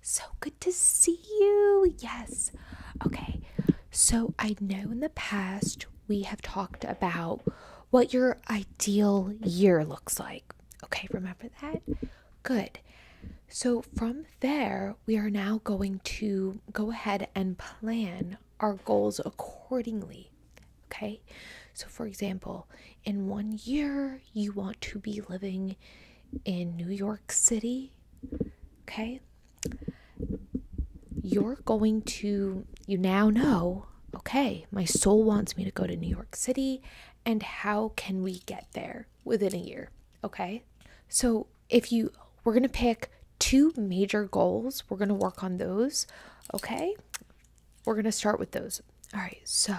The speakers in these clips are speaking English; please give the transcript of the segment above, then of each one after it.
So good to see you. Yes. Okay. So I know in the past we have talked about what your ideal year looks like. Okay, remember that? Good. So from there, we are now going to go ahead and plan our goals accordingly. Okay, so for example, in one year you want to be living in New York City, okay? You're going to, you now know, okay, my soul wants me to go to New York City, and how can we get there within a year, okay? So if you, we're gonna pick two major goals, we're gonna work on those, okay? We're gonna start with those. All right, so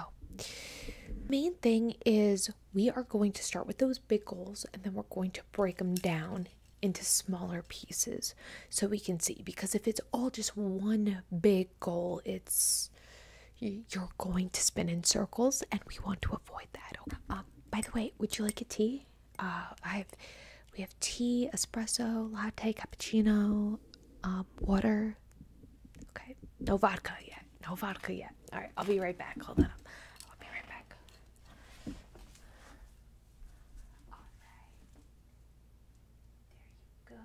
main thing is we are going to start with those big goals and then we're going to break them down into smaller pieces so we can see because if it's all just one big goal it's you're going to spin in circles and we want to avoid that okay. um, by the way would you like a tea uh, i've we have tea espresso latte cappuccino um, water Okay. No vodka yet. No vodka yet. All right. I'll be right back. Hold on. I'll be right back. All right. There you go.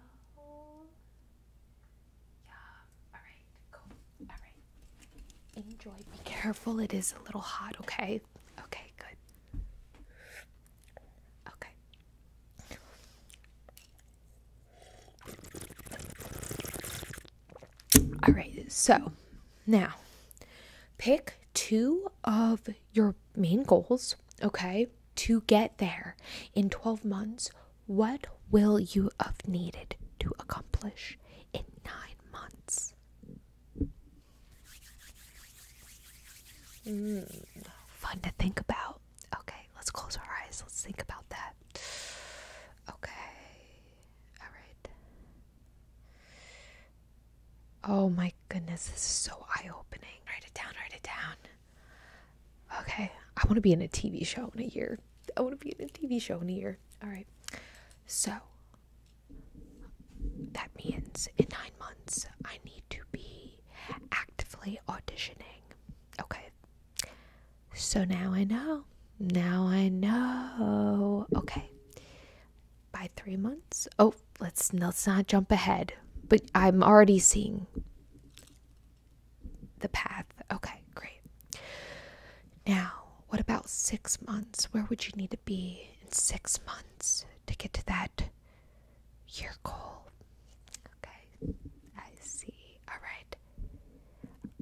Yeah. All right. Cool. All right. Enjoy. Be careful. It is a little hot. Okay. Okay. Good. Okay. All right, so now pick two of your main goals, okay, to get there in 12 months. What will you have needed to accomplish in nine months? Hmm, fun to think about. Okay, let's close our eyes. Let's think about that. Okay. All right. Oh my goodness, this is so eye opening. Write it down, write it down. Okay, I want to be in a TV show in a year. I want to be in a TV show in a year. All right. So that means in nine months, I need to be actively auditioning Okay. So now I know. Now I know. Okay. By three months. Oh, let's let's not jump ahead. But I'm already seeing the path. Okay, great. Now, what about six months? Where would you need to be in six months to get to that you're cold. Okay. I see. Alright.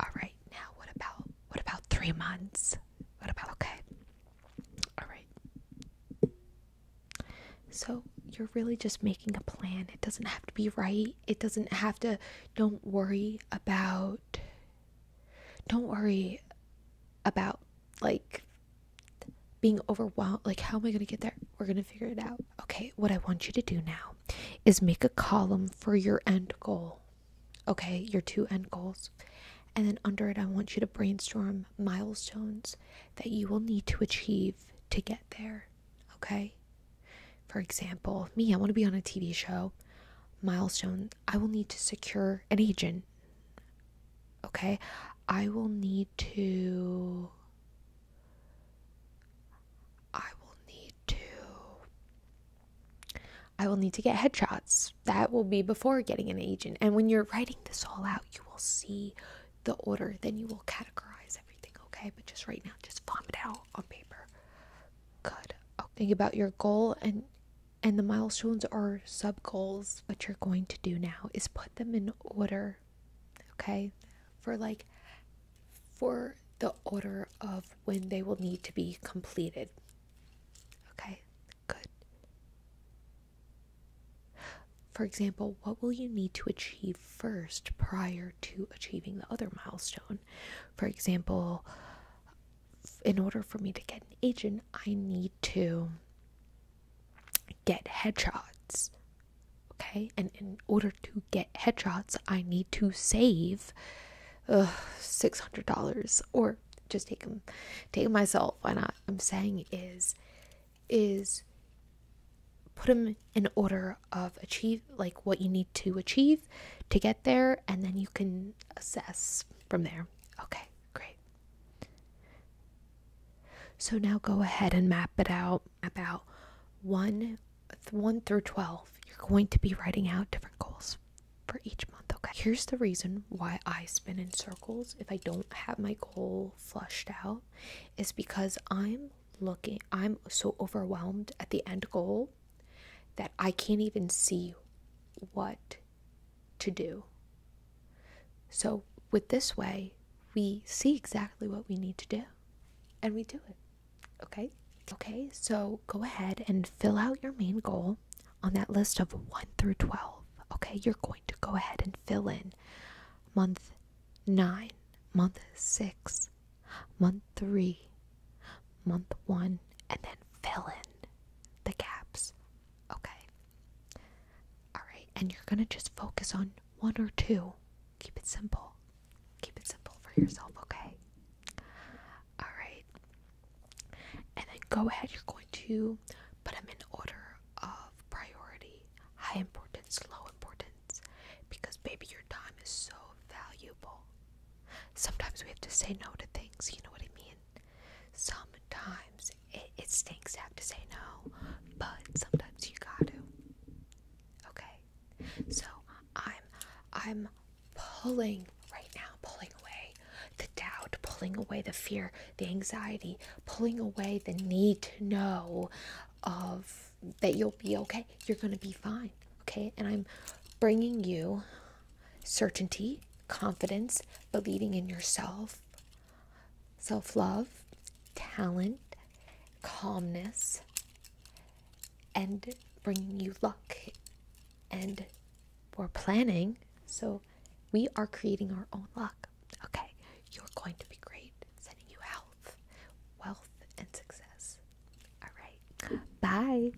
Alright, now what about what about three months? What about okay? Alright. So you're really just making a plan. It doesn't have to be right. It doesn't have to don't worry about don't worry about like being overwhelmed like how am i going to get there we're going to figure it out okay what i want you to do now is make a column for your end goal okay your two end goals and then under it i want you to brainstorm milestones that you will need to achieve to get there okay for example me i want to be on a tv show milestone i will need to secure an agent okay i will need to I will need to I will need to get headshots. That will be before getting an agent. And when you're writing this all out, you will see the order, then you will categorize everything, okay? But just right now, just vomit out on paper. Good. Okay. Think about your goal and and the milestones are sub goals. What you're going to do now is put them in order, okay, for like for the order of when they will need to be completed. Okay, good. For example, what will you need to achieve first prior to achieving the other milestone? For example, in order for me to get an agent, I need to get headshots. Okay, and in order to get headshots, I need to save $600 or just take them, take them myself. Why not? I'm saying is, is put them in order of achieve like what you need to achieve to get there, and then you can assess from there. Okay, great. So now go ahead and map it out. About 1 1 through 12. You're going to be writing out different goals for each month, okay? Here's the reason why I spin in circles if I don't have my goal flushed out is because I'm looking I'm so overwhelmed at the end goal that I can't even see what to do. So, with this way, we see exactly what we need to do and we do it. Okay? Okay, so go ahead and fill out your main goal on that list of 1 through 12. Okay, you're going to go ahead and fill in month 9, month 6, month 3, month 1, and then fill in the gaps. Okay. Alright, and you're gonna just focus on one or two. Keep it simple. Keep it simple for yourself, okay? Alright. And then go ahead, you're going to put them in order of priority high importance, low importance, because baby, your time is so valuable. Sometimes we have to say no to things, you know what I mean? Sometimes it, stinks to have to say no, but sometimes you gotta. Okay, so I'm I'm pulling right now, pulling away the doubt, pulling away the fear, the anxiety, pulling away the need to know of that you'll be okay. You're gonna be fine. Okay, and I'm bringing you certainty, confidence, believing in yourself, self love, talent, calmness, and bringing you luck. And we're planning, so we are creating our own luck. Okay, you're going to be great, sending you health, wealth, and success. All right, bye.